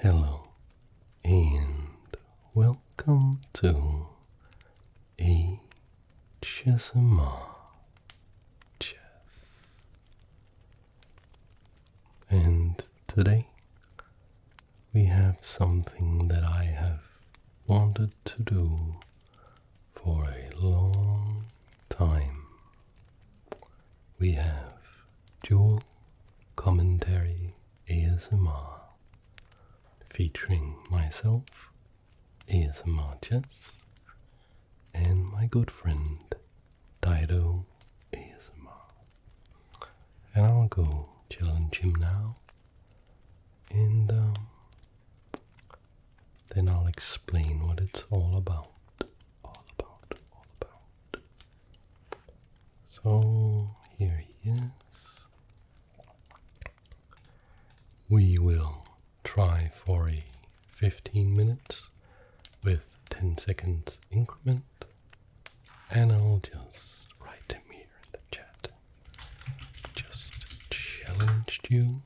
Hello and welcome to a Chess. And today we have something that I have wanted to do for a long time we have dual commentary ASMR featuring myself, ASMR Chess, and my good friend Dido ASMR. And I'll go challenge him now, and um, then I'll explain what it's all about. So here he is. We will try for a 15 minutes with 10 seconds increment, and I'll just write him here in the chat. Just challenged you.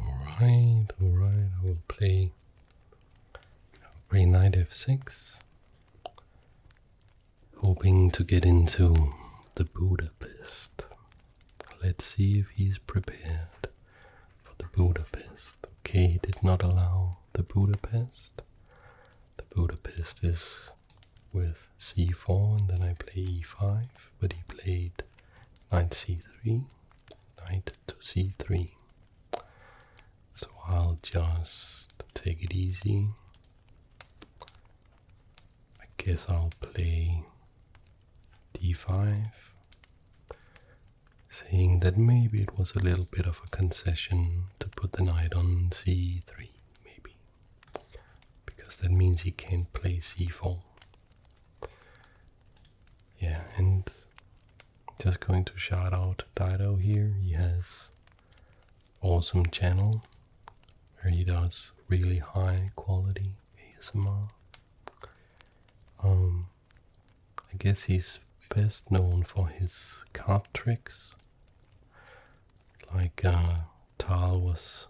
Alright, alright, I will play I'll play Knight f6, hoping to get into the Budapest. Let's see if he's prepared for the Budapest. Okay, he did not allow the Budapest. The Budapest is with c4 and then I play e5, but he played knight c3, knight to c3. So I'll just take it easy. I guess I'll play d5, saying that maybe it was a little bit of a concession to put the knight on c3, maybe because that means he can't play c4. Yeah, and just going to shout out Dido here. He has awesome channel where he does really high quality ASMR. Um, I guess he's best known for his card tricks. Like uh, was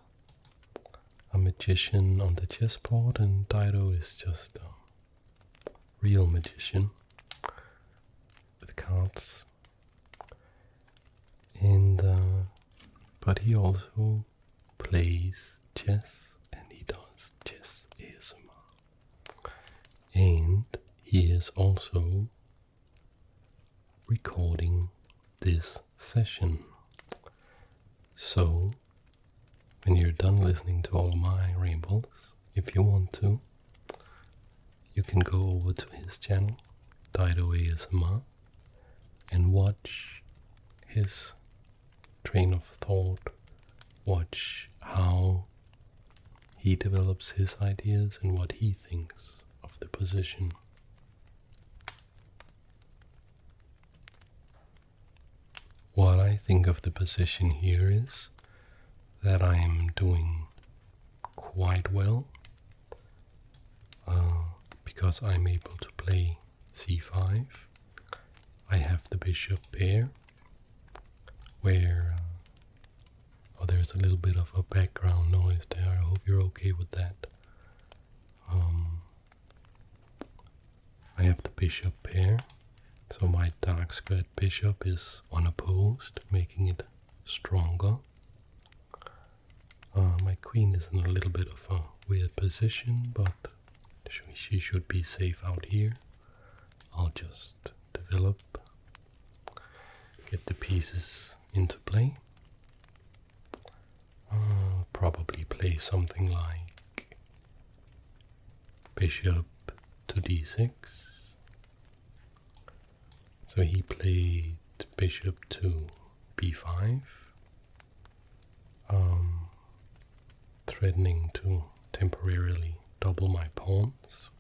a magician on the chessboard, and Dido is just a real magician with cards. And uh, but he also plays chess, and he does chess ASMR, and he is also recording this session. So, when you're done listening to all my rambles, if you want to, you can go over to his channel, Dido ASMR, and watch his train of thought, watch how he develops his ideas and what he thinks of the position. What I think of the position here is that I am doing quite well uh, because I'm able to play c5. I have the bishop here. where. Uh, oh, there's a little bit of a background noise there. I hope you're okay with that. Um, I have the bishop pair, so my dark squared bishop is unopposed, making it stronger. Uh, my queen is in a little bit of a weird position, but she should be safe out here. I'll just develop, get the pieces into play. I'll probably play something like bishop to d6. So he played bishop to b5, um, threatening to temporarily double my pawns,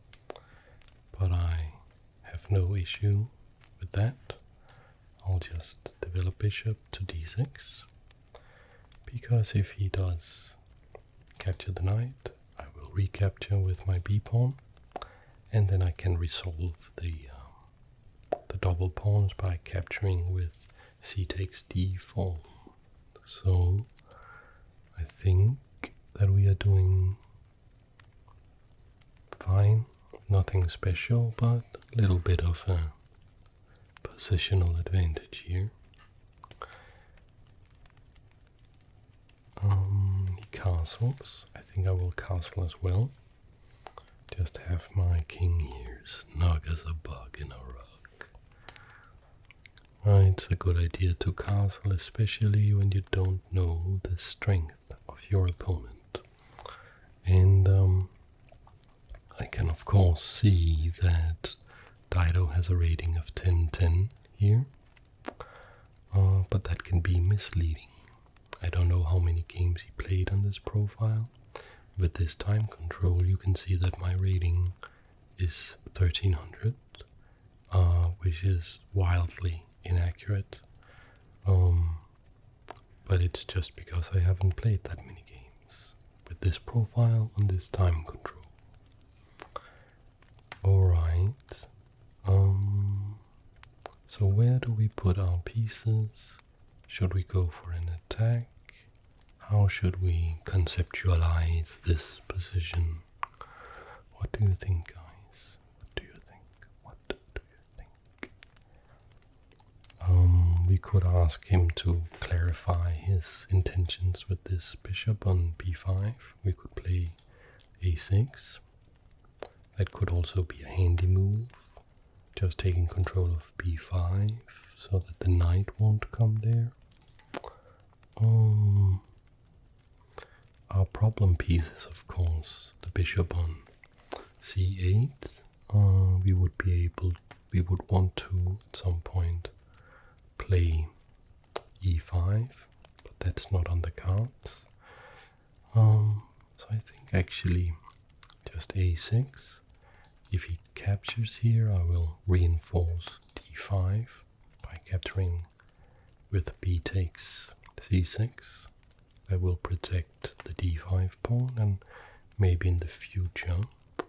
but I have no issue with that, I'll just develop bishop to d6, because if he does capture the knight, I will recapture with my b pawn, and then I can resolve the um, the double pawns by capturing with c takes d4. So I think that we are doing fine Nothing special, but a little bit of a positional advantage here. Um, castles. I think I will castle as well. Just have my king here snug as a bug in a rug. it's a good idea to castle, especially when you don't know the strength of your opponent. And um, I can of course see that Dido has a rating of 10-10 here, uh, but that can be misleading. I don't know how many games he played on this profile. With this time control, you can see that my rating is 1300, uh, which is wildly inaccurate. Um, but it's just because I haven't played that many games with this profile and this time control. Alright, um, so where do we put our pieces? Should we go for an attack? How should we conceptualize this position? What do you think, guys? What do you think? What um, we could ask him to clarify his intentions with this bishop on b5. We could play a6. That could also be a handy move. Just taking control of b5 so that the knight won't come there. Um, our problem piece is, of course, the bishop on c8 uh, we would be able we would want to at some point play e5 but that's not on the cards um, so I think actually just a6 if he captures here I will reinforce d5 by capturing with b takes c6 I will protect the d5 pawn and maybe in the future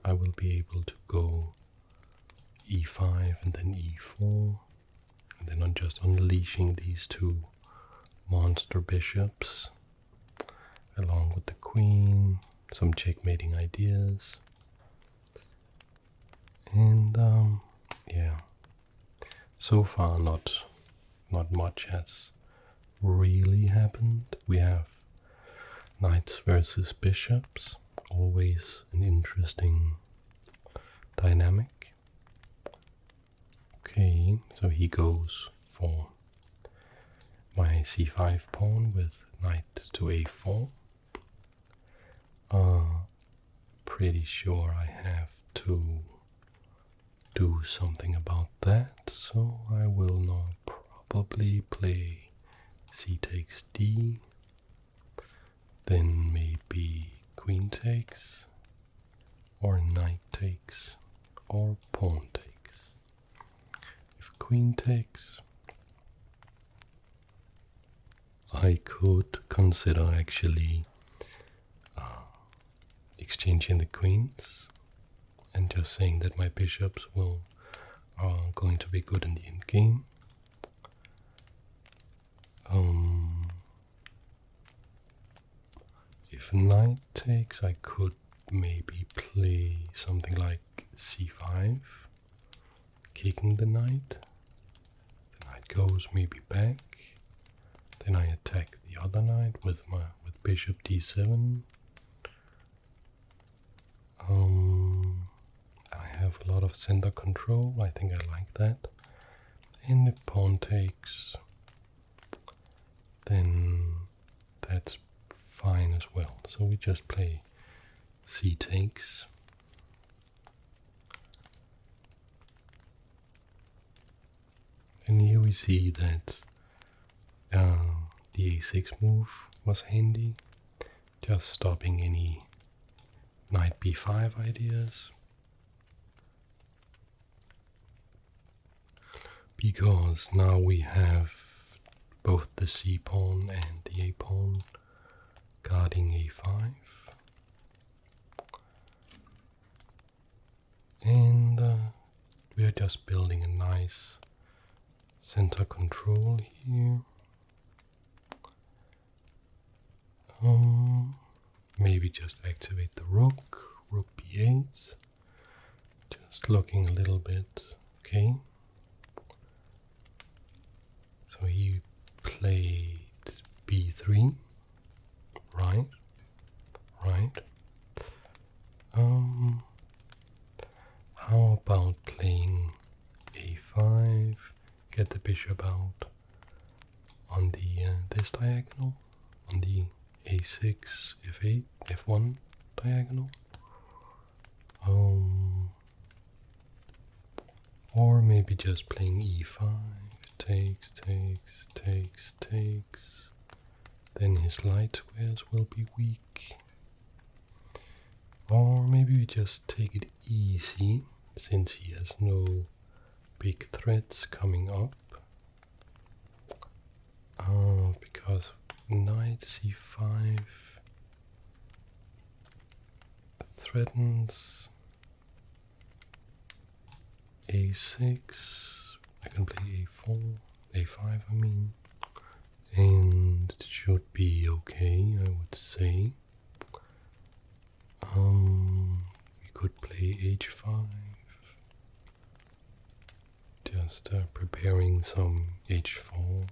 I will be able to go e5 and then e4 and then I'm just unleashing these two monster bishops along with the queen, some checkmating ideas and um, yeah so far not not much has really happened. We have knights versus bishops, always an interesting dynamic. Okay, so he goes for my c5 pawn with knight to a4. Uh, pretty sure I have two do something about that, so I will now probably play c takes d, then maybe queen takes, or knight takes, or pawn takes. If queen takes, I could consider actually uh, exchanging the queens and just saying that my bishops will are going to be good in the end game. Um, if knight takes, I could maybe play something like c5, kicking the knight. The knight goes maybe back. Then I attack the other knight with my with bishop d7. Um, I have a lot of center control, I think I like that. And if pawn takes, then that's fine as well. So we just play c takes. And here we see that um, the a6 move was handy, just stopping any knight b5 ideas. Because now we have both the c pawn and the a pawn guarding a5. And uh, we are just building a nice center control here. Um, maybe just activate the rook, rook b8. Just looking a little bit. Okay. So he played b3. Right. Right. Um, how about playing a5, get the bishop out on the uh, this diagonal, on the a6, f8, f1 diagonal. Um, or maybe just playing e5, takes, takes, takes, takes. Then his light squares will be weak. Or maybe we just take it easy since he has no big threats coming up. Uh, because knight c5 threatens a6. I can play a4, a5 I mean and it should be okay, I would say. Um, we could play h5, just uh, preparing some h4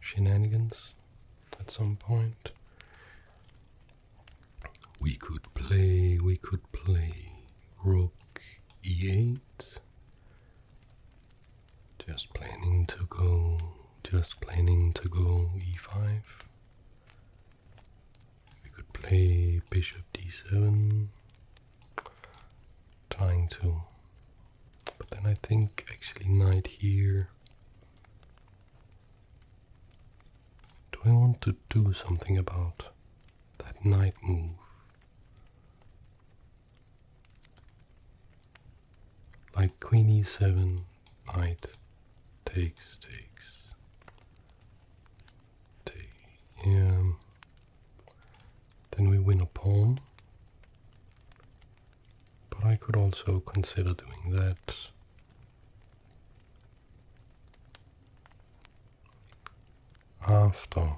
shenanigans at some point. We could play, we could play rook e8. Just planning to go, just planning to go e5. We could play bishop d7. Trying to. But then I think actually knight here. Do I want to do something about that knight move? Like queen e7, knight takes, takes, take, Then we win a pawn. But I could also consider doing that. After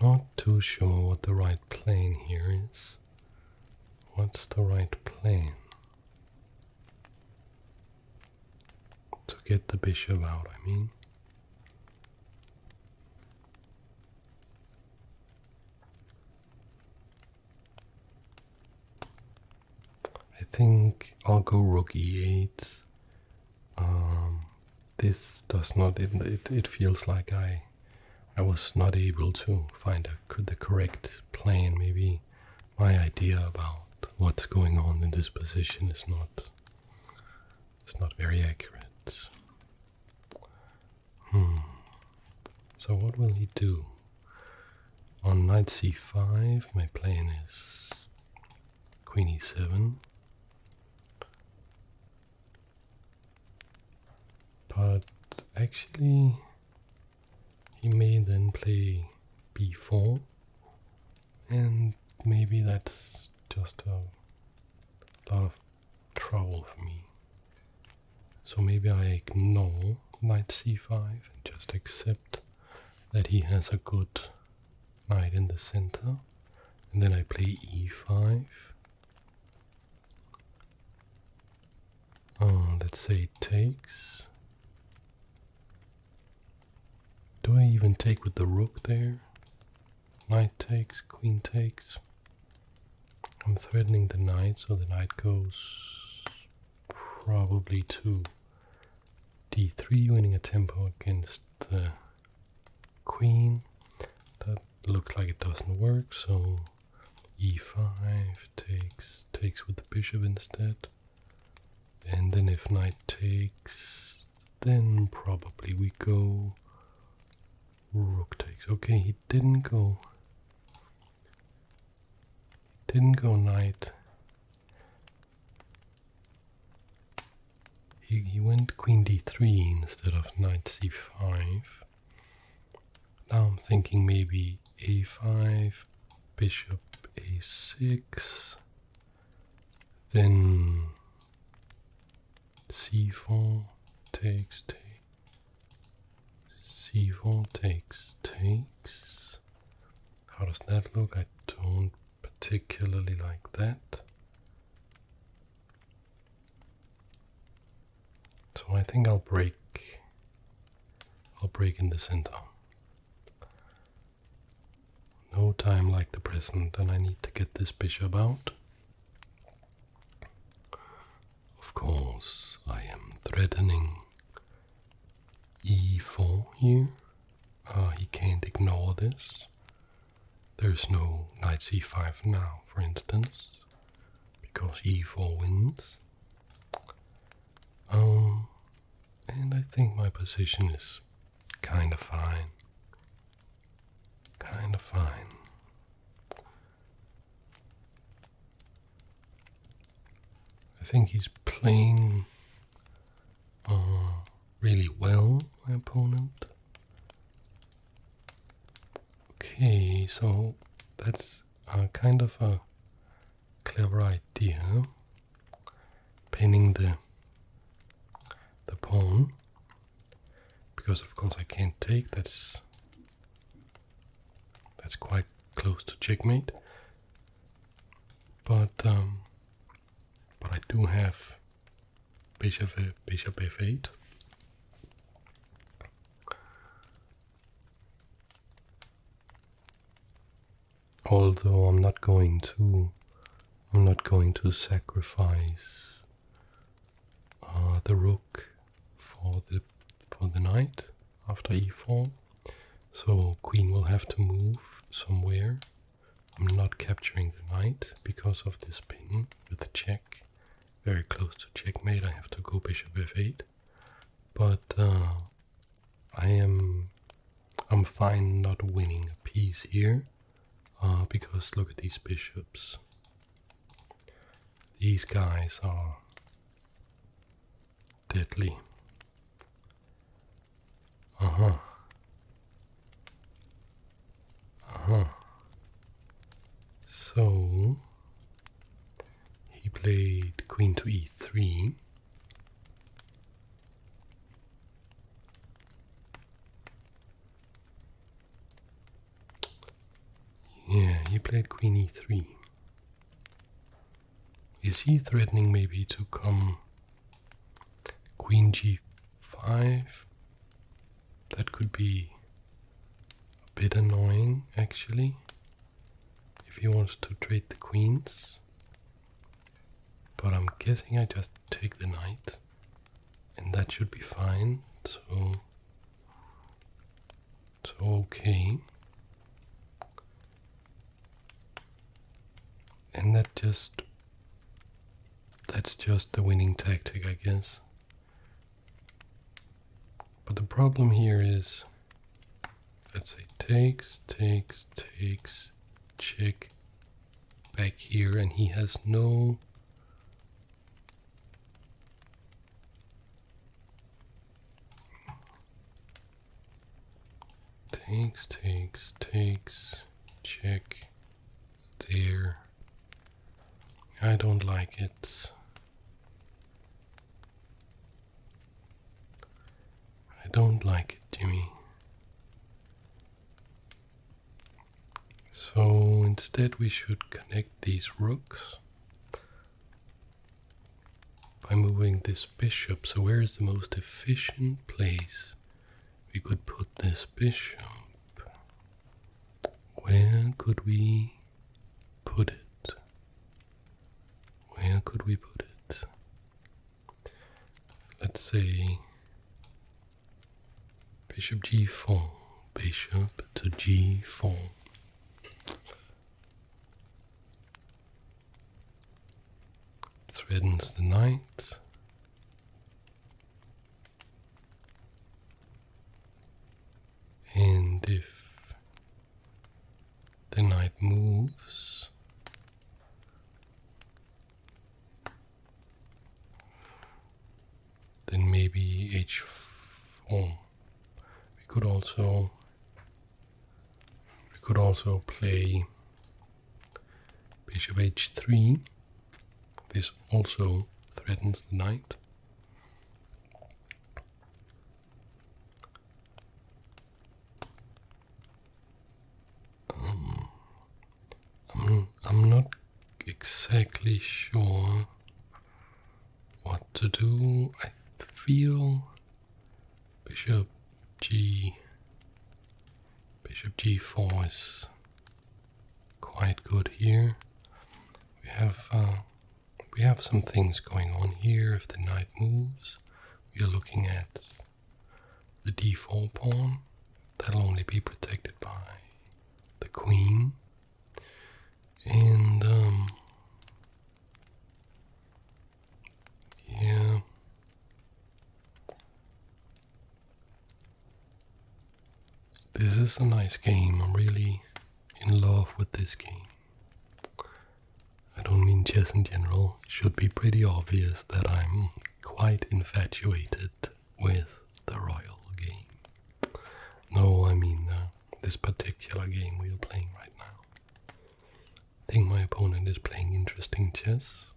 not too sure what the right plane here is. What's the right plane? To get the bishop out, I mean. I think I'll go rook e8. Um, this does not, it, it, feels like I I was not able to find a, the correct plan. Maybe my idea about what's going on in this position is not is not very accurate. Hmm. So what will he do? On knight c5, my plan is queen e7. But actually, he may then play b4, and maybe that's just a lot of trouble for me. So maybe I ignore knight c5 and just accept that he has a good knight in the center. And then I play e5. Oh, let's say it takes. Do I even take with the rook there? Knight takes, queen takes. I'm threatening the knight, so the knight goes probably 2 d3, winning a tempo against the queen. That looks like it doesn't work, so e5 takes takes with the bishop instead. And then if knight takes, then probably we go rook takes. Okay, he didn't go didn't go knight. He, he went queen d3 instead of knight c5. Now I'm thinking maybe a5, bishop a6, then c4 takes, takes, c4 takes, takes, how does that look? I don't particularly like that. So I think I'll break I'll break in the center. No time like the present and I need to get this bishop out. Of course I am threatening e4 here Ah, he can't ignore this. There's no knight c5 now, for instance, because e4 wins. Um, and I think my position is kind of fine. Kind of fine. I think he's playing really well, my opponent. Okay, so that's uh, kind of a clever idea. Pinning the the pawn, because of course I can't take. That's that's quite close to checkmate. But um, but I do have bishop, bishop f8. Although I'm not going to, I'm not going to sacrifice uh, the rook for the for the knight after e4. So queen will have to move somewhere. I'm not capturing the knight because of this pin with the check. Very close to checkmate, I have to go bishop f8. But uh, I am I'm fine not winning a piece here. Uh, because look at these bishops. These guys are deadly. Uh huh. Uh huh. So he played queen to e3. Yeah, he played queen e3. Is he threatening maybe to come queen g5? That could be a bit annoying actually if he wants to trade the queens. But I'm guessing I just take the knight and that should be fine. So so okay. And that just. That's just the winning tactic, I guess. But the problem here is. Let's say takes, takes, takes, check back here, and he has no Takes, takes, takes. Check. There. I don't like it. I don't like it, Jimmy. So instead we should connect these rooks by moving this bishop. So where is the most efficient place? we could put this bishop. Where could we put it? Where could we put it? Let's say bishop g4, bishop to g4 threatens the knight. And if the knight moves, then maybe h4. We could also we could also play of h3. This also threatens the knight. Um, I'm not exactly sure what to do. I feel bishop g. Bishop g4 is quite good here. We have uh, we have some things going on here. If the knight moves, we are looking at the d4 pawn. That'll only be protected by the queen. And um, yeah. This is a nice game. I'm really in love with this game. I don't mean chess in general. It should be pretty obvious that I'm quite infatuated with the royal game. No, I mean uh, this particular game we are playing right now think my opponent is playing interesting chess.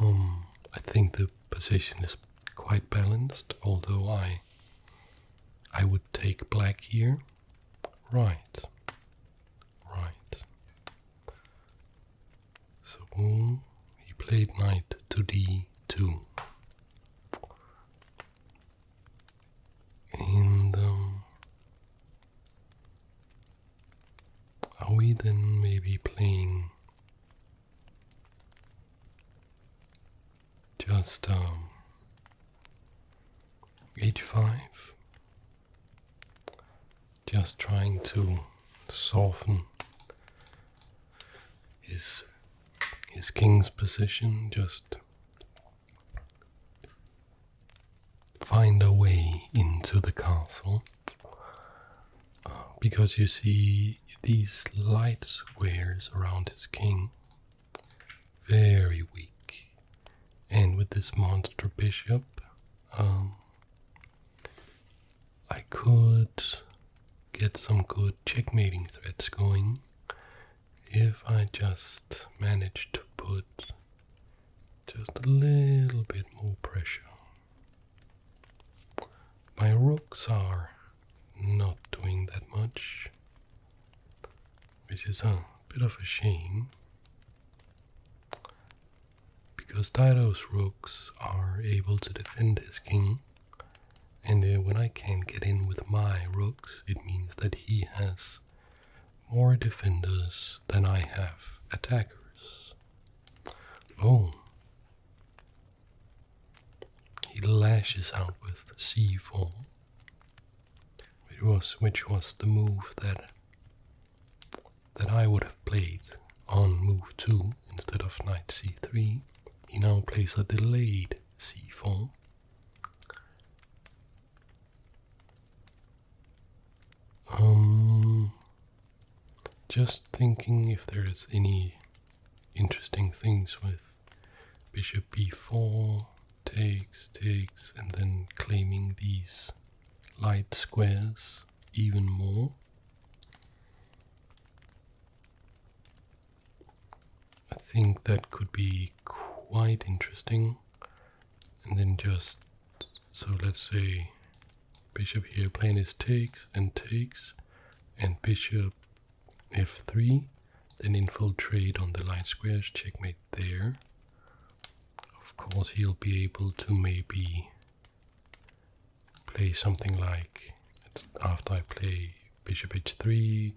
Um, I think the position is quite balanced, although I I would take black here. Right. Right. So he played knight to d2. And um, are we then maybe playing just um, h5? Just trying to soften his his king's position, just find a way into the castle uh, because you see these light squares around his king very weak and with this monster bishop um, I could get some good checkmating threats going if I just manage to put just a little bit more pressure my rooks are not doing that much, which is a bit of a shame because Dido's rooks are able to defend his king. And uh, when I can't get in with my rooks, it means that he has more defenders than I have attackers. Oh, He lashes out with c4, which was which was the move that that I would have played on move two instead of knight c3. He now plays a delayed c4. Um, just thinking if there's any interesting things with bishop b4 takes takes and then claiming these light squares even more I think that could be quite interesting and then just so let's say bishop here, plain is takes and takes, and bishop f3, then infiltrate on the light squares, checkmate there. Of course, he'll be able to maybe play something like after I play bishop h3,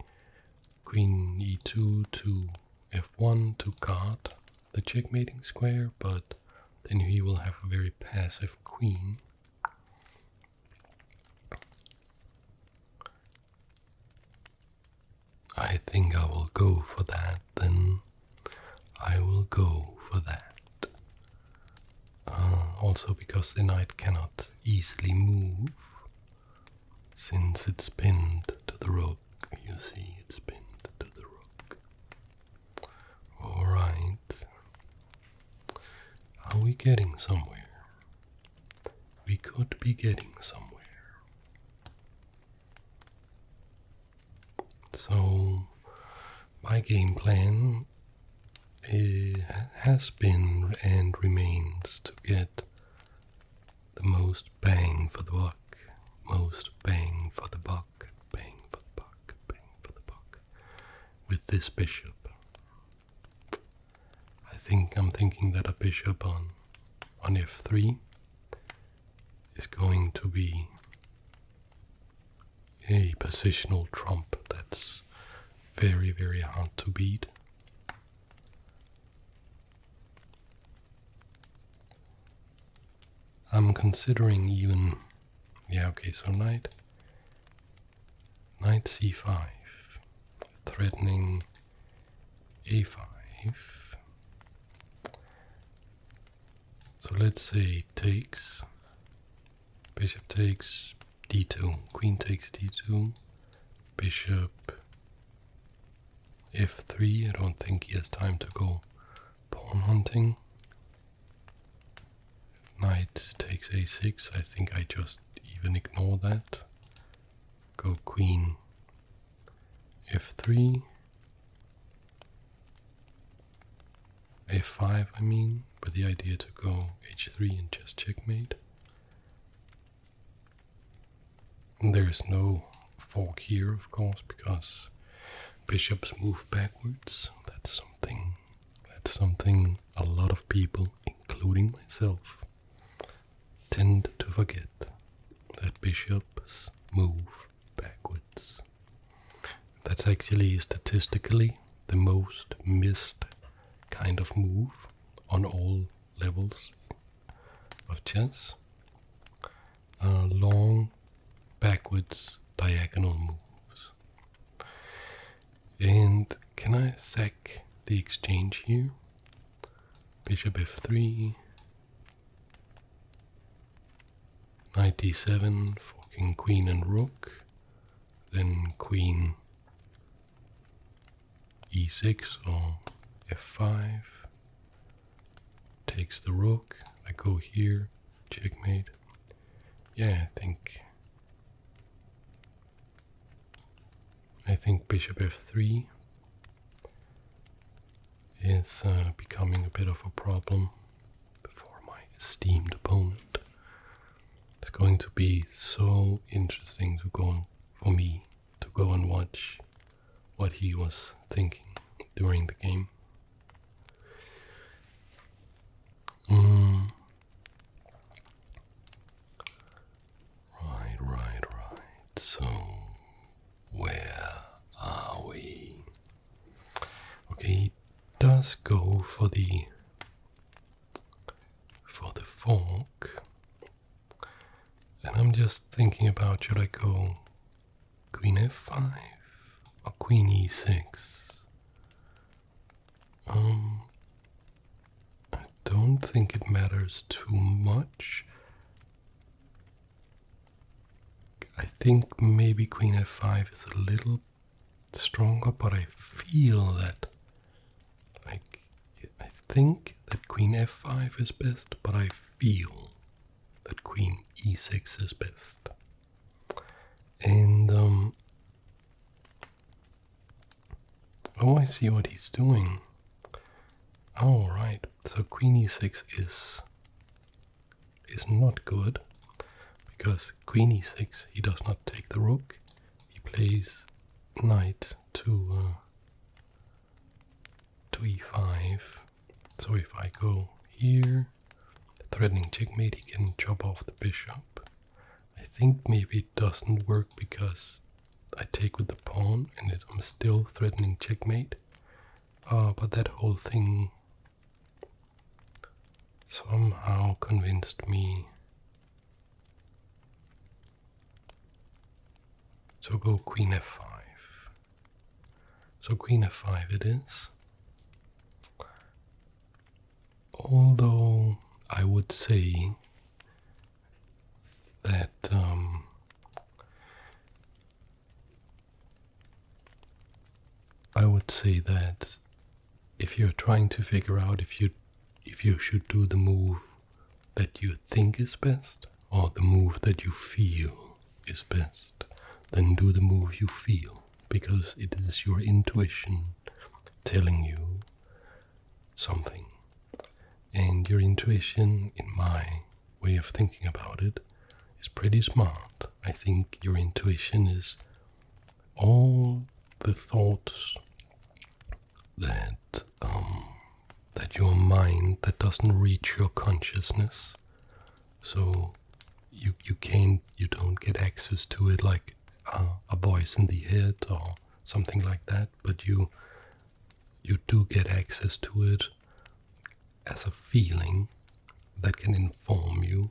queen e2 to f1 to guard the checkmating square, but then he will have a very passive queen. I think I will go for that, then I will go for that. Uh, also because the knight cannot easily move, since it's pinned to the rook. You see, it's pinned to the rook. All right. Are we getting somewhere? We could be getting somewhere. So, my game plan eh, has been and remains to get the most bang for the buck, most bang for the buck bang for the buck, bang for the buck with this bishop. I think I'm thinking that a bishop on on f3 is going to be a positional trump that's very very hard to beat. I'm considering even. Yeah, okay, so knight. Knight c5. Threatening a5. So let's see, takes. Bishop takes d2. Queen takes d2. Bishop f3. I don't think he has time to go pawn hunting. Knight takes a6. I think I just even ignore that. Go queen f3. a 5 I mean, but the idea to go h3 and just checkmate. There's no fork here, of course, because bishops move backwards. That's that's something a lot of people, including myself, tend to forget that bishops move backwards. That's actually statistically the most missed kind of move on all levels of chess. long backwards diagonal moves. And can I sack the exchange here? Bishop f3. Ninety seven for king, queen, and rook. Then queen e6 or f5. Takes the rook. I go here. Checkmate. Yeah, I think. I think bishop f3 is uh, becoming a bit of a problem for my esteemed opponent. It's going to be so interesting to go for me to go and watch what he was thinking during the game. Mm. Right, right, right. So, where are we? Okay, it does go for the for the fork, and I'm just thinking about should I go queen f5 or queen e6? Um, I don't think it matters too much. I think maybe queen f5 is a little stronger, but I feel that, like, I think that queen f5 is best, but I feel that queen e6 is best. And um, Oh I see what he's doing. All right, so queen e6 is is not good because queen e6 he does not take the rook. He plays knight to uh, to e5. So if I go here Threatening checkmate, he can chop off the bishop. I think maybe it doesn't work because I take with the pawn and I'm still threatening checkmate. Uh, but that whole thing somehow convinced me to go queen f5. So queen f5 it is although I would say that um, I would say that if you're trying to figure out if you if you should do the move that you think is best or the move that you feel is best, then do the move you feel because it is your intuition telling you something. And your intuition, in my way of thinking about it, is pretty smart. I think your intuition is all the thoughts that um, that your mind that doesn't reach your consciousness. So you you can't you don't get access to it like uh, a voice in the head or something like that, but you you do get access to it as a feeling that can inform you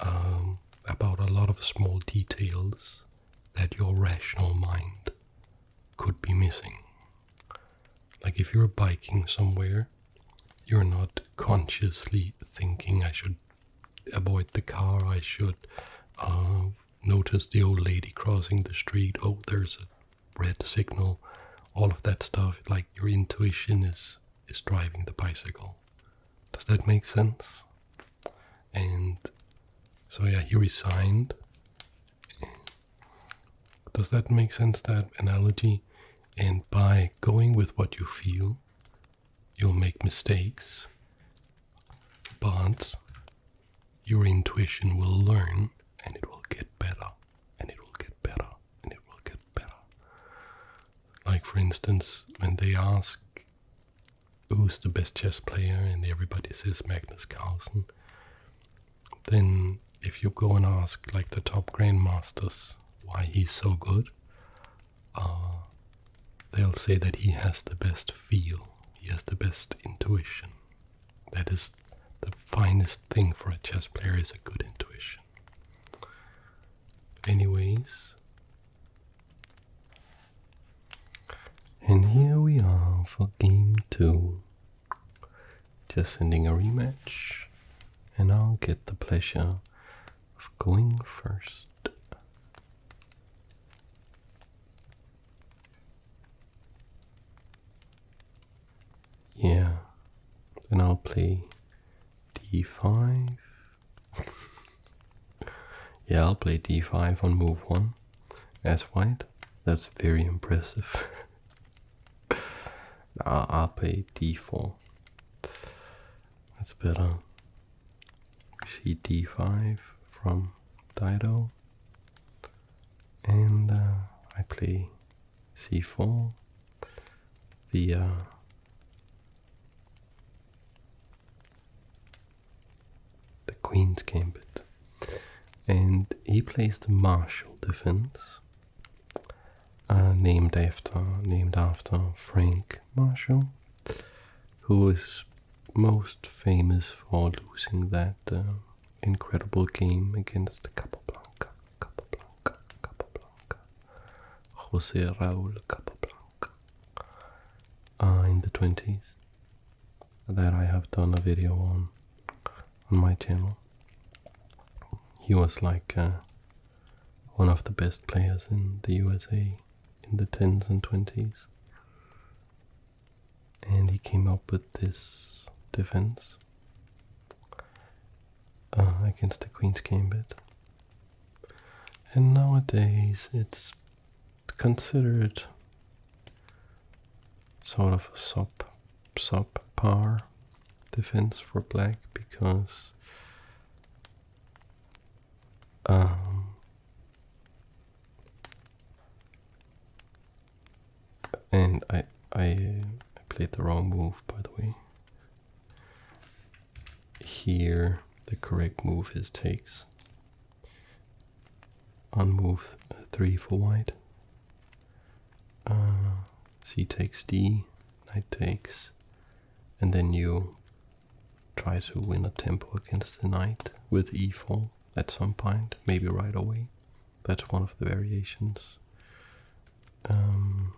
um, about a lot of small details that your rational mind could be missing. Like if you're biking somewhere, you're not consciously thinking I should avoid the car. I should uh, notice the old lady crossing the street. Oh, there's a red signal. All of that stuff. Like your intuition is is driving the bicycle. Does that make sense? And so yeah, he resigned. Does that make sense? That analogy. And by going with what you feel, You'll make mistakes, but your intuition will learn and it will get better, and it will get better, and it will get better. Like, for instance, when they ask who's the best chess player, and everybody says Magnus Carlsen, then if you go and ask, like, the top grandmasters why he's so good, uh, they'll say that he has the best feel, he has the best intuition. That is the finest thing for a chess player is a good intuition. Anyways, and here we are for game two. Just ending a rematch, and I'll get the pleasure of going first. Yeah, then I'll play d5. yeah, I'll play d5 on move 1 as white. That's very impressive. Now I'll play d4. That's better. We see d 5 from Dido, and uh, I play c4. The uh, the queen's gambit, and he plays the Marshall defense, uh, named after named after Frank Marshall, who is most famous for losing that uh, incredible game against Capablanca, Capablanca, Capablanca, Jose Raul Capablanca ah, in the 20s. That I have done a video on on my channel. He was like uh, one of the best players in the USA in the 10s and 20s. And he came up with this defense uh, against the Queen's Gambit. And nowadays it's considered sort of a sop, sop subpar defense for black because um, and I I played the wrong move by the way. Here the correct move is takes. unmove three for white. Uh, C takes D, knight takes, and then you try to win a tempo against the knight with e4 at some point, maybe right away. That's one of the variations. Um,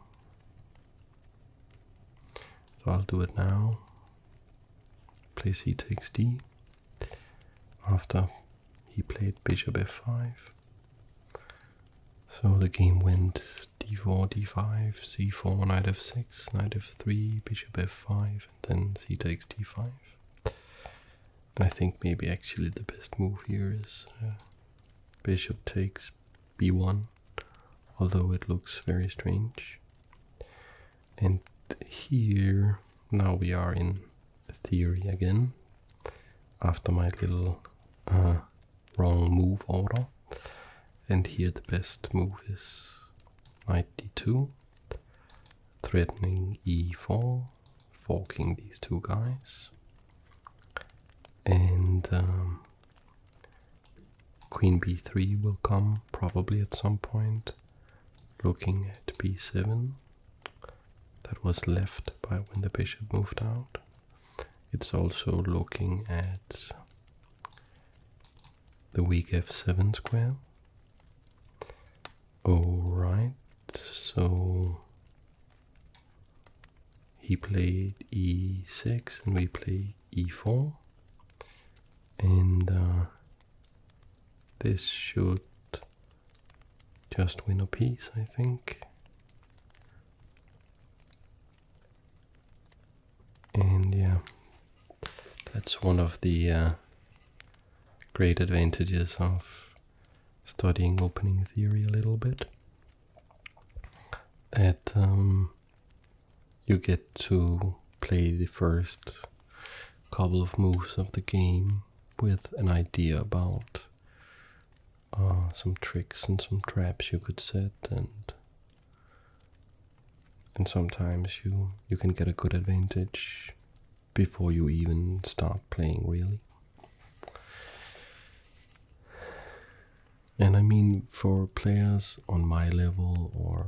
so I'll do it now. Play c takes d. After he played bishop f5. So the game went d4, d5, c4, knight f6, knight f3, bishop f5, and then c takes d5. And I think maybe actually the best move here is uh, bishop takes b1, although it looks very strange. And here, now we are in theory again, after my little uh, wrong move order and here the best move is knight d2, threatening e4, forking these two guys, and um, queen b3 will come probably at some point, looking at b7. That was left by when the bishop moved out. It's also looking at the weak f7 square. Alright, so he played e6 and we play e4 and uh, this should just win a piece I think and yeah, that's one of the uh, great advantages of studying opening theory a little bit. That um, you get to play the first couple of moves of the game with an idea about uh, some tricks and some traps you could set and and sometimes you you can get a good advantage before you even start playing really and i mean for players on my level or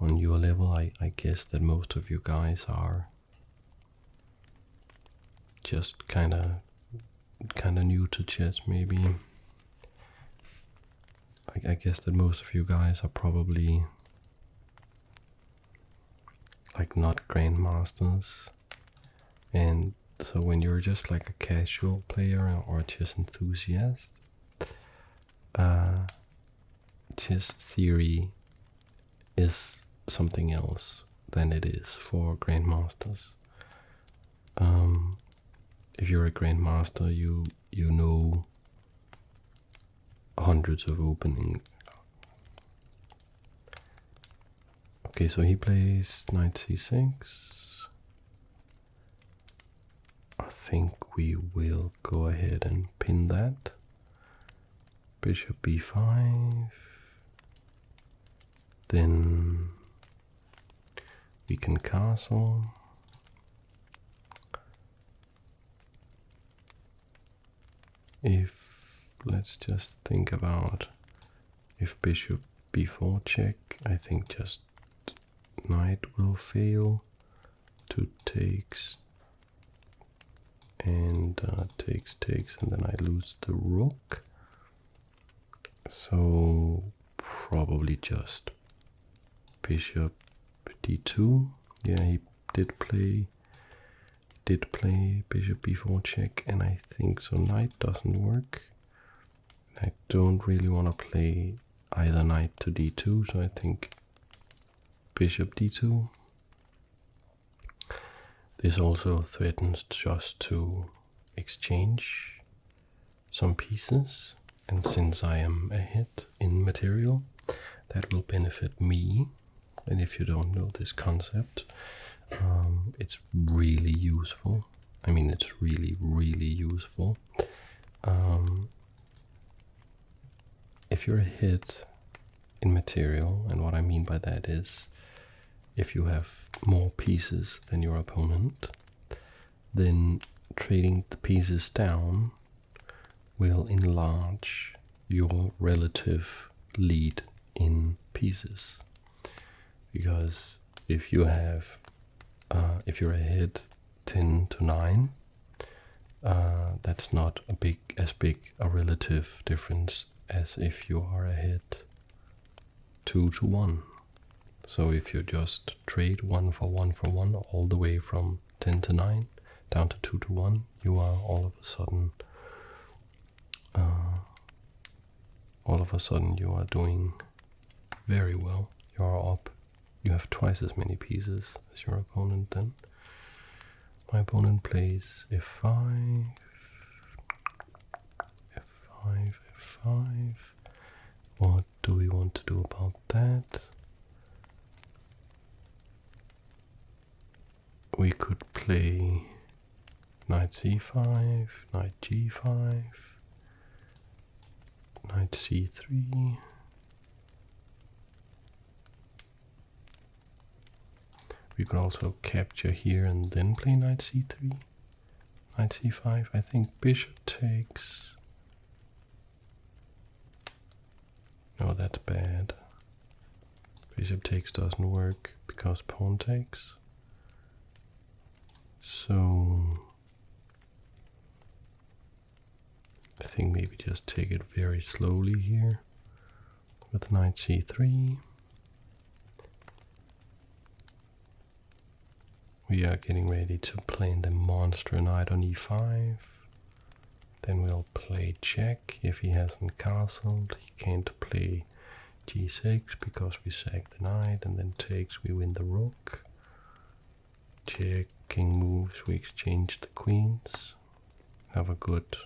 on your level i i guess that most of you guys are just kind of kind of new to chess maybe I, guess that most of you guys are probably like not grandmasters and so when you're just like a casual player or just enthusiast chess uh, theory is something else than it is for grandmasters um, if you're a grandmaster you you know hundreds of opening. Okay, so he plays knight c6. I think we will go ahead and pin that. Bishop b5. Then we can castle. If let's just think about if bishop b4 check, I think just knight will fail. to takes and uh, takes takes and then I lose the rook so probably just bishop d2. Yeah, he did play did play bishop b4 check and I think so knight doesn't work. I don't really want to play either knight to d2 so I think bishop d2. This also threatens just to exchange some pieces, and since I am ahead in material, that will benefit me. And if you don't know this concept, um, it's really useful. I mean, it's really, really useful. Um, if you're ahead in material, and what I mean by that is if you have more pieces than your opponent, then trading the pieces down will enlarge your relative lead in pieces because if you have uh, if you're ahead 10 to 9 uh, that's not a big as big a relative difference as if you are ahead 2 to 1 so if you just trade one for one for one all the way from 10 to 9 down to 2 to 1, you are all of a sudden. Uh, all of a sudden, you are doing very well. You are up. You have twice as many pieces as your opponent then. My opponent plays f5, f5, f5, or do we want to do about that? We could play knight c5, knight g5, knight c3. We could also capture here and then play knight c3, knight c5. I think bishop takes Oh, that's bad. Bishop takes doesn't work because pawn takes. So I think maybe just take it very slowly here with knight c3 we are getting ready to play the monster knight on e5. Then we'll play check. If he hasn't castled, he can't play g6 because we sac the knight and then takes, we win the rook. Check, king moves, we exchange the queens. Have a good,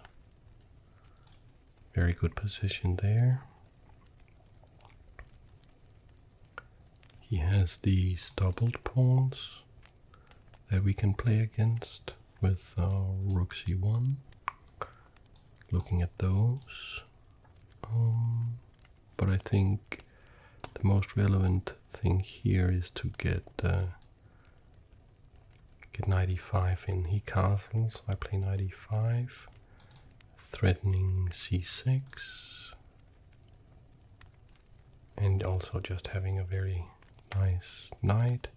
very good position there. He has these doubled pawns that we can play against with our rook c1. Looking at those. Um, but I think the most relevant thing here is to get uh, get knight e5 in. He castles, I play knight e5, threatening c6 and also just having a very nice night.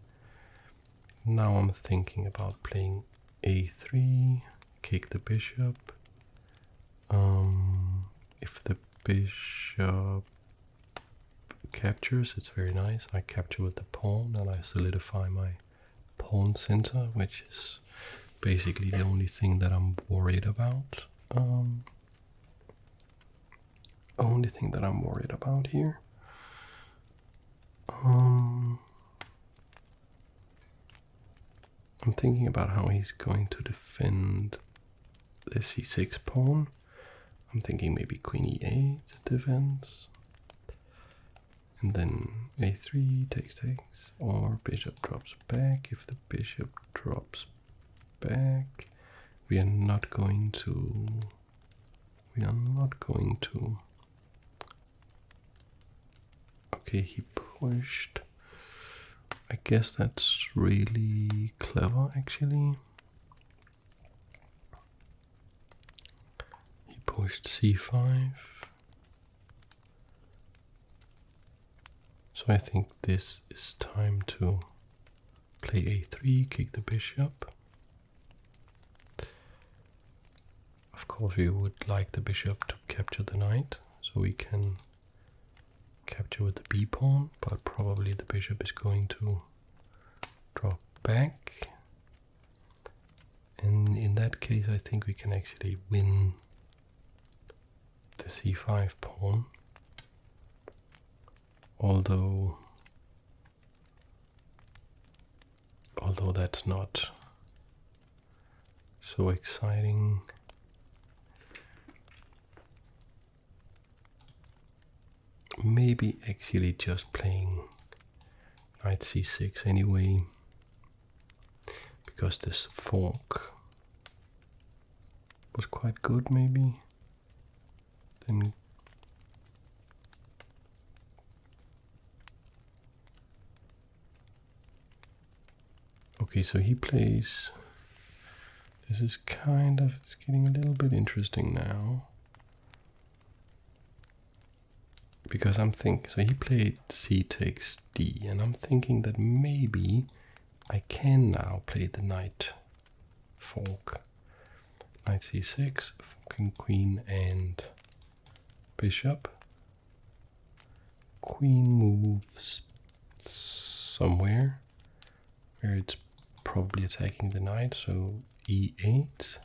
Now I'm thinking about playing a3, kick the bishop. Um, if the bishop captures, it's very nice. I capture with the pawn and I solidify my pawn center, which is basically the only thing that I'm worried about. Um, only thing that I'm worried about here. Um, I'm thinking about how he's going to defend the c6 pawn. I'm thinking maybe queen e8 defense. And then a3 takes takes, or bishop drops back. If the bishop drops back. We are not going to. We are not going to. Okay, he pushed. I guess that's really clever actually. He pushed c5. So I think this is time to Play a3, kick the bishop. Of course we would like the bishop to capture the knight, so we can capture with the b-pawn, but probably the bishop is going to drop back. And in that case I think we can actually win the c5 pawn although although that's not so exciting maybe actually just playing knight c6 anyway because this fork was quite good maybe Okay, so he plays. This is kind of it's getting a little bit interesting now. Because I'm thinking, so he played c takes d, and I'm thinking that maybe I can now play the knight Fork. Knight c6, fucking queen and bishop. Queen moves somewhere where it's probably attacking the knight, so e8.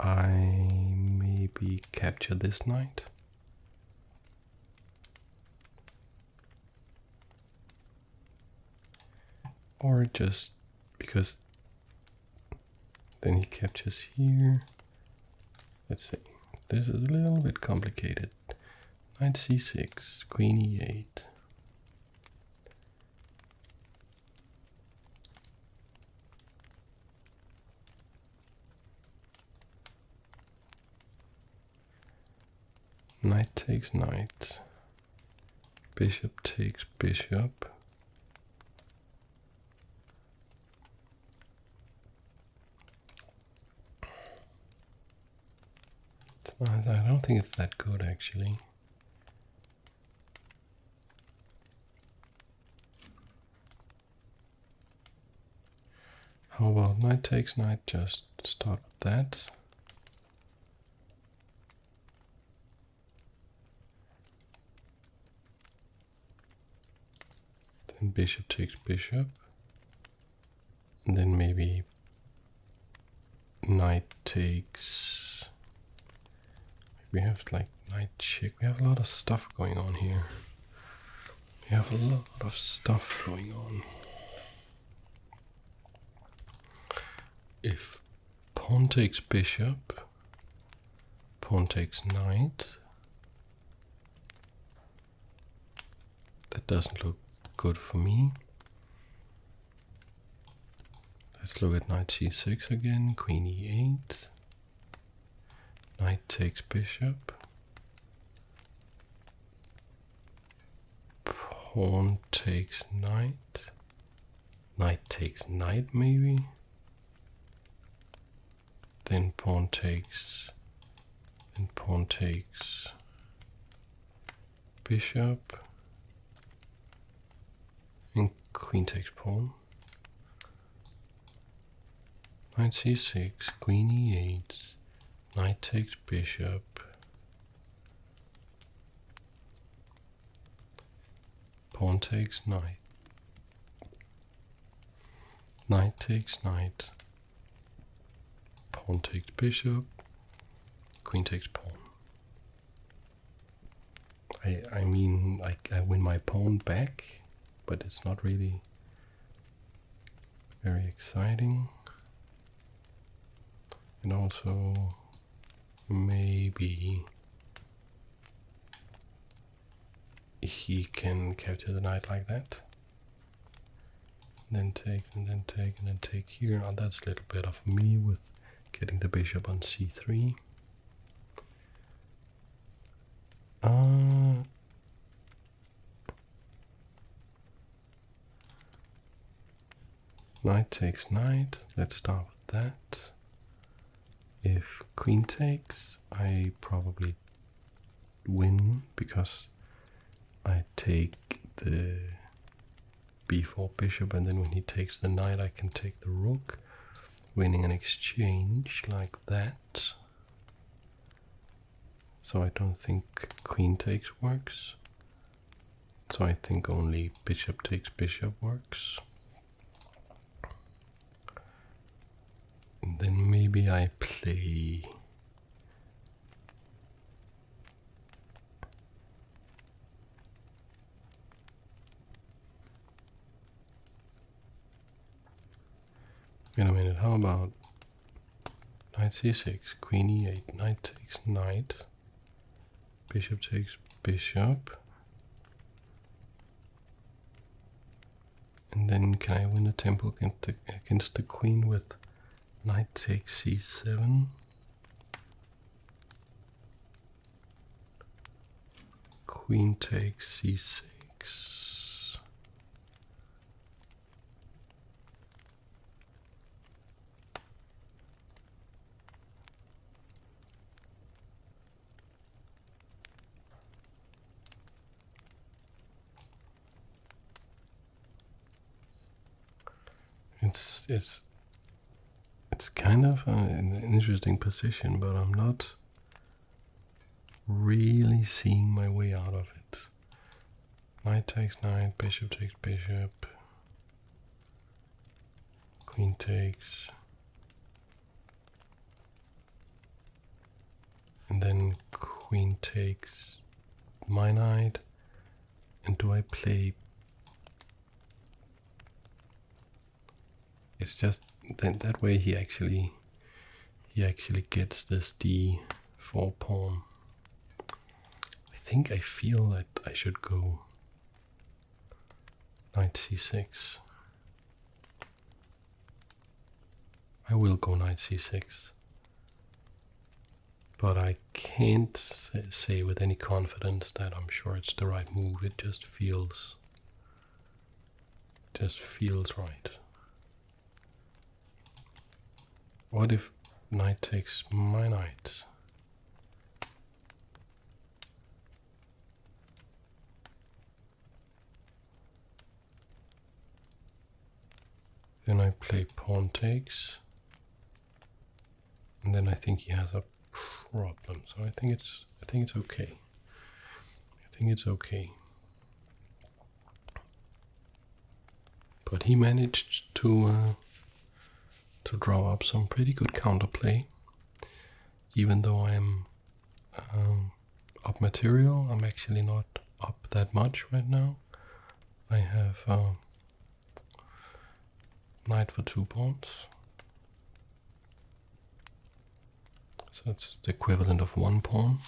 I maybe capture this knight. Or just because then he captures here. Let's see. This is a little bit complicated. Knight c6, queen e8. Knight takes knight. Bishop takes bishop. I don't think it's that good actually. How oh, about knight takes knight? Just stop that. Then bishop takes bishop. And then maybe knight takes... We have like knight check. We have a lot of stuff going on here. We have a lot of stuff going on. If pawn takes bishop, pawn takes knight, that doesn't look good for me. Let's look at knight c6 again, queen e8, knight takes bishop, Pawn takes knight. Knight takes knight, maybe. Then pawn takes. Then pawn takes. Bishop. And queen takes pawn. Knight c6, queen e8, Knight takes bishop. Pawn takes knight. Knight takes knight. Pawn takes bishop. Queen takes pawn. I, I mean, I, I win my pawn back, but it's not really very exciting and also maybe he can capture the knight like that then take and then take and then take here now that's a little bit of me with getting the bishop on c3 uh, Knight takes knight. Let's start with that. If queen takes, I probably win because I take the b4 bishop and then when he takes the knight I can take the rook winning an exchange like that so I don't think queen takes works so I think only bishop takes bishop works. And then maybe I play... Wait a minute, how about Knight c6, queen e8, knight takes knight, bishop takes bishop. And then can I win the temple against against the queen with knight takes c7? Queen takes c6. It's it's it's kind of an interesting position, but I'm not really seeing my way out of it knight takes knight, bishop takes bishop, queen takes, and then queen takes my knight. And do I play? It's just that that way he actually he actually gets this d4 pawn. I think I feel that I should go knight c6. I will go knight c6. But I can't say with any confidence that I'm sure it's the right move. It just feels just feels right. What if knight takes my knight? Then I play pawn takes. And then I think he has a problem. So I think it's I think it's okay. I think it's okay. But he managed to uh, to draw up some pretty good counterplay. Even though I'm um, up material, I'm actually not up that much right now. I have uh, knight for two pawns. So it's the equivalent of one pawn.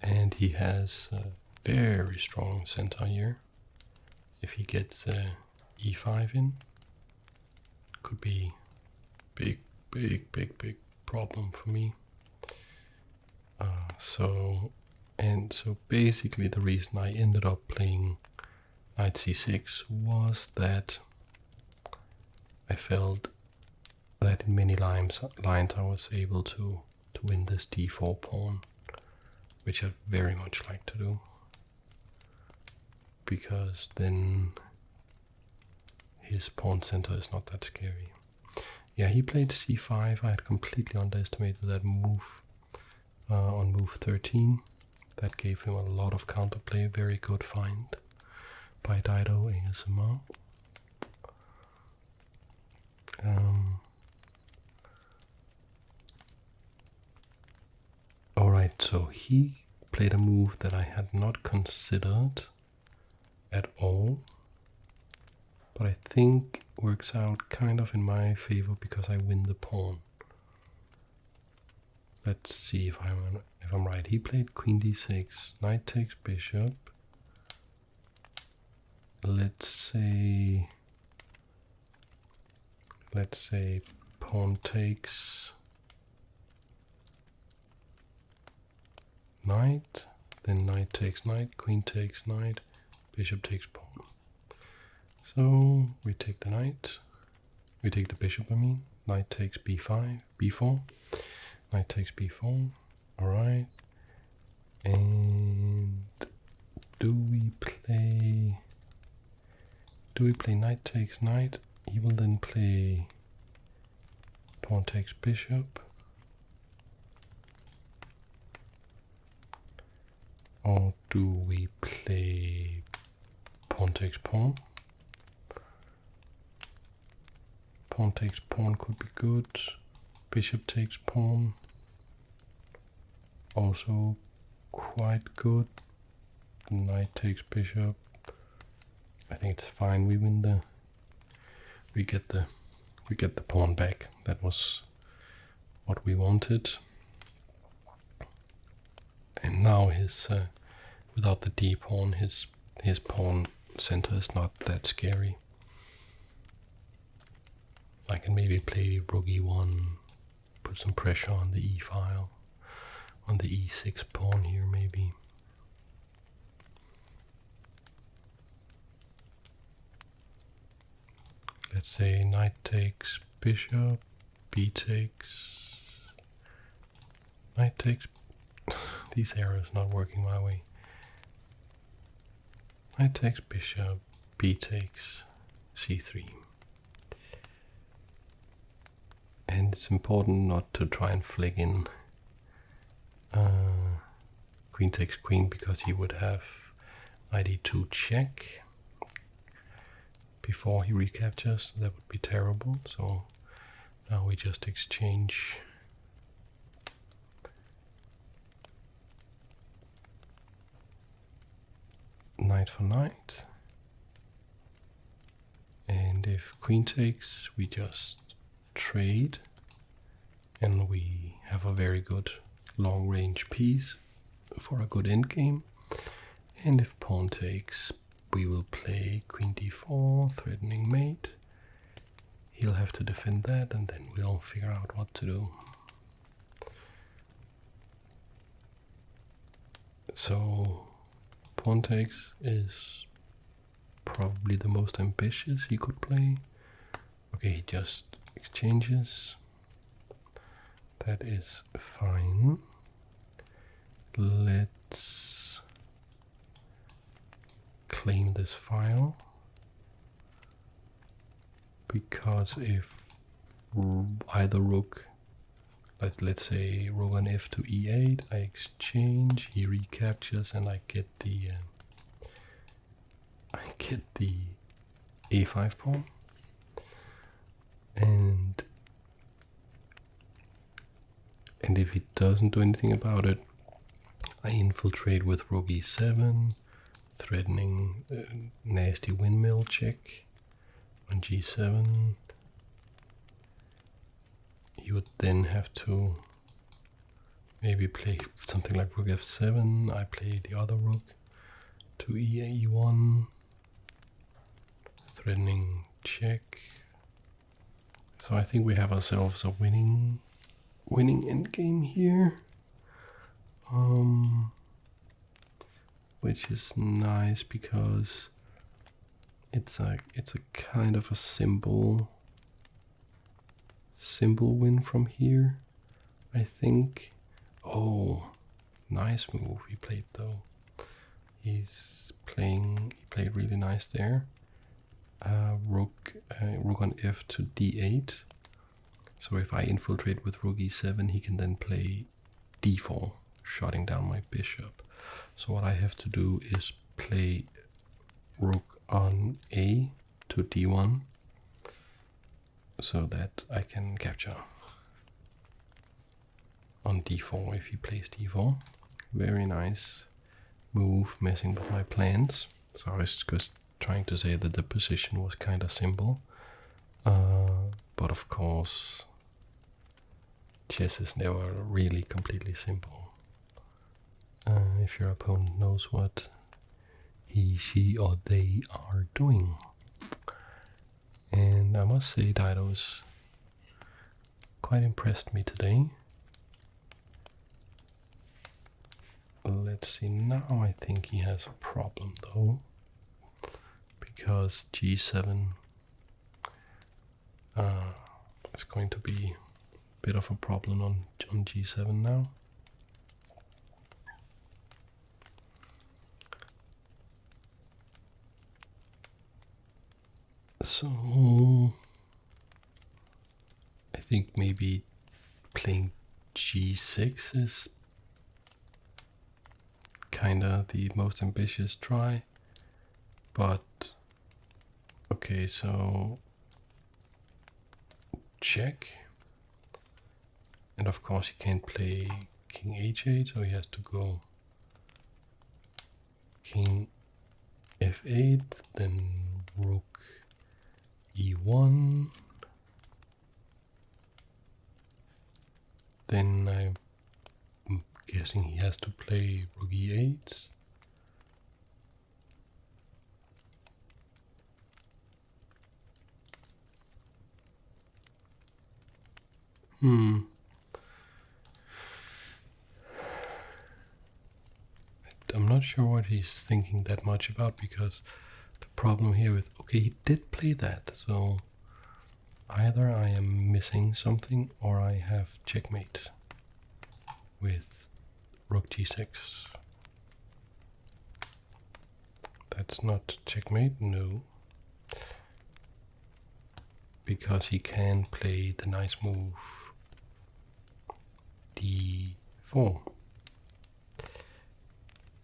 And he has a very strong center here. If he gets uh, e5 in, could be big, big, big, big problem for me. Uh, so, and so basically the reason I ended up playing knight c6 was that I felt that in many lines, lines I was able to to win this d4 pawn, which i very much like to do. Because then his pawn center is not that scary. Yeah, he played c5. I had completely underestimated that move uh, on move 13. That gave him a lot of counterplay. Very good find by Dido ASMR. Um, Alright, so he played a move that I had not considered at all. But I think works out kind of in my favor because I win the pawn. Let's see if I'm if I'm right. He played queen d6, knight takes bishop, let's say let's say pawn takes knight then knight takes knight queen takes knight bishop takes pawn so we take the knight we take the bishop i mean knight takes b5 b4 knight takes b4 all right and do we play? Do we play knight takes knight? He will then play pawn takes bishop. Or do we play pawn takes pawn? Pawn takes pawn could be good. Bishop takes pawn also quite good. Knight takes bishop. I think it's fine. We win the. We get the. We get the pawn back. That was what we wanted. And now his, uh, without the d pawn, his his pawn center is not that scary. I can maybe play rook one put some pressure on the e file, on the e6 pawn here maybe. Let's say knight takes bishop, b takes, knight takes, these arrows not working my way. I takes bishop, b takes c3. And it's important not to try and flag in uh, queen takes queen because he would have id2 check before he recaptures. That would be terrible. So now we just exchange knight for knight. And if queen takes, we just trade and we have a very good long range piece for a good endgame. And if pawn takes, we will play queen d4, threatening mate. He'll have to defend that and then we'll figure out what to do. So Pontex is probably the most ambitious he could play. Okay, he just exchanges. That is fine. Let's claim this file because if hmm. either rook, let, let's say rook on f to e8, I exchange, he recaptures, and I get the uh, I get the a5 pawn, and and if he doesn't do anything about it, I infiltrate with rook e7 threatening uh, nasty windmill check on g7. You would then have to maybe play something like rook f7. I play the other rook to e e1. Threatening check. So I think we have ourselves a winning winning endgame here um, which is nice because it's like it's a kind of a symbol symbol win from here I think oh nice move he played though he's playing he played really nice there uh, rook uh, rook on f to d8 so if I infiltrate with rook e7, he can then play d4, shutting down my bishop. So what I have to do is play rook on a to d1 so that I can capture on d4 if he plays d4. Very nice move, messing with my plans. So I was just trying to say that the position was kind of simple, uh, but of course, chess is never really completely simple. Uh, if your opponent knows what he, she, or they are doing. And I must say, Dido's quite impressed me today. Let's see, now I think he has a problem though because g7 uh, is going to be a bit of a problem on, John g7 now. So I think maybe playing g6 is kinda the most ambitious try, but okay, so check. And of course, he can't play king h8, so he has to go king f8, then rook e1, then I'm guessing he has to play rook e8. Hmm. I'm not sure what he's thinking that much about because the problem here with okay he did play that so Either I am missing something or I have checkmate with rook g6. That's not checkmate, no. Because he can play the nice move d4.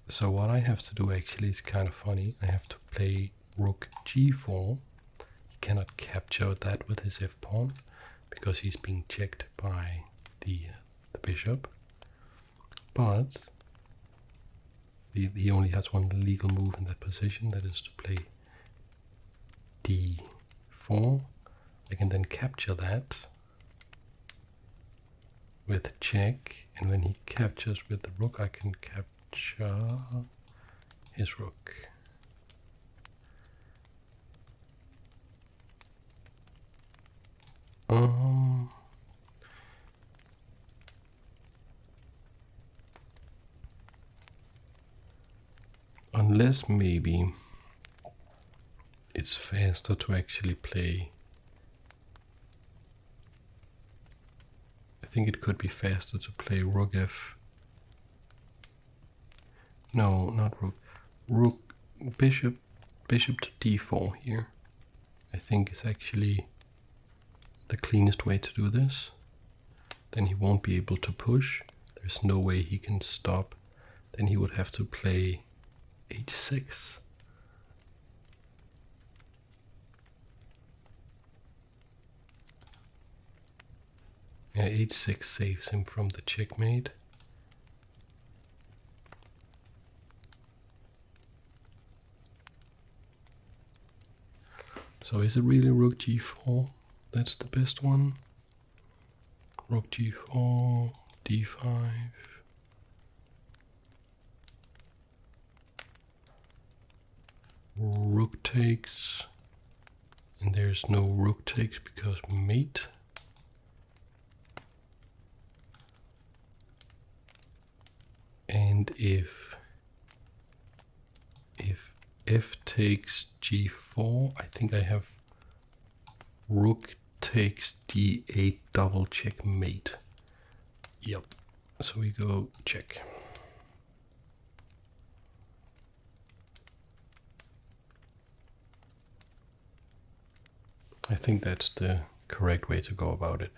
So what I have to do actually is kind of funny. I have to play rook g4. He cannot capture that with his f-pawn because he's being checked by the, uh, the bishop. But he only has one legal move in that position, that is to play d4. I can then capture that with check, and when he captures with the rook, I can capture his rook. Um, unless maybe it's faster to actually play I think it could be faster to play rook f. No, not rook. Rook, bishop, bishop to d4 here. I think is actually the cleanest way to do this. Then he won't be able to push. There's no way he can stop. Then he would have to play h6. Yeah, h6 saves him from the checkmate. So is it really rook g4? That's the best one. Rook g4, d5. Rook takes. And there's no rook takes because mate. And if if f takes g4, I think I have rook takes d8 double check mate. Yep, so we go check. I think that's the correct way to go about it.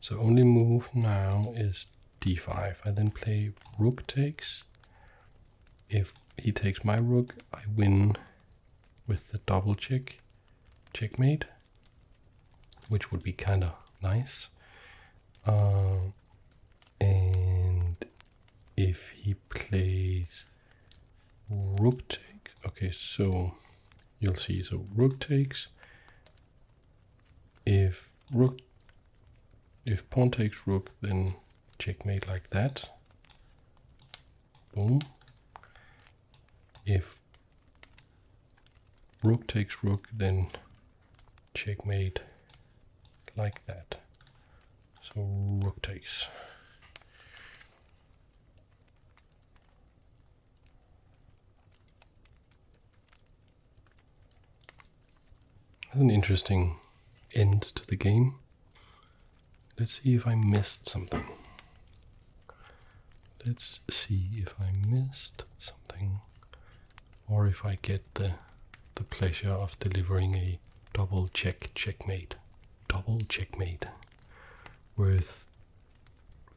So only move now is d5. I then play rook takes. If he takes my rook, I win with the double check checkmate, which would be kind of nice. Um, and if he plays rook take, okay, so you'll see. So rook takes. If rook, if pawn takes rook, then checkmate like that. Boom. If rook takes rook, then checkmate like that. So rook takes. That's an interesting end to the game. Let's see if I missed something. Let's see if I missed something or if I get the the pleasure of delivering a double check checkmate. Double checkmate worth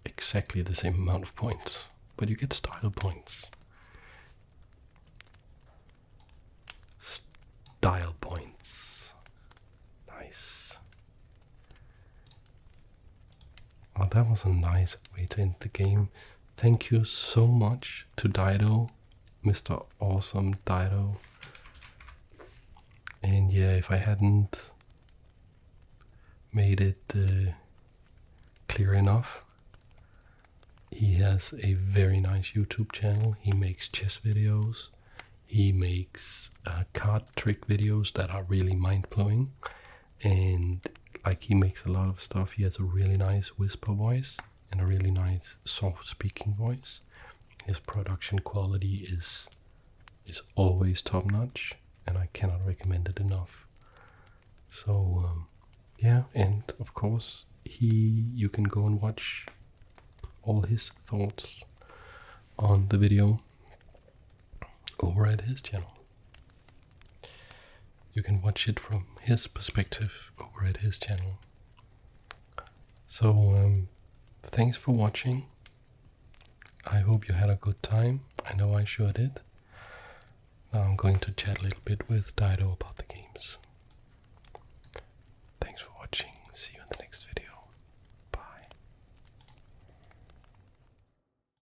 exactly the same amount of points, but you get style points. Style points. Nice. Well, oh, that was a nice way to end the game. Thank you so much to Dido, Mr. Awesome Dido. And yeah, if I hadn't made it uh, clear enough, he has a very nice YouTube channel. He makes chess videos. He makes uh, card trick videos that are really mind blowing and like he makes a lot of stuff. He has a really nice whisper voice and a really nice soft speaking voice. His production quality is is always top notch, and I cannot recommend it enough. So um, yeah, and of course he you can go and watch all his thoughts on the video over at his channel. You can watch it from his perspective over at his channel. So, um, thanks for watching. I hope you had a good time. I know I sure did. Now I'm going to chat a little bit with Dido about the games. Thanks for watching. See you in the next video. Bye.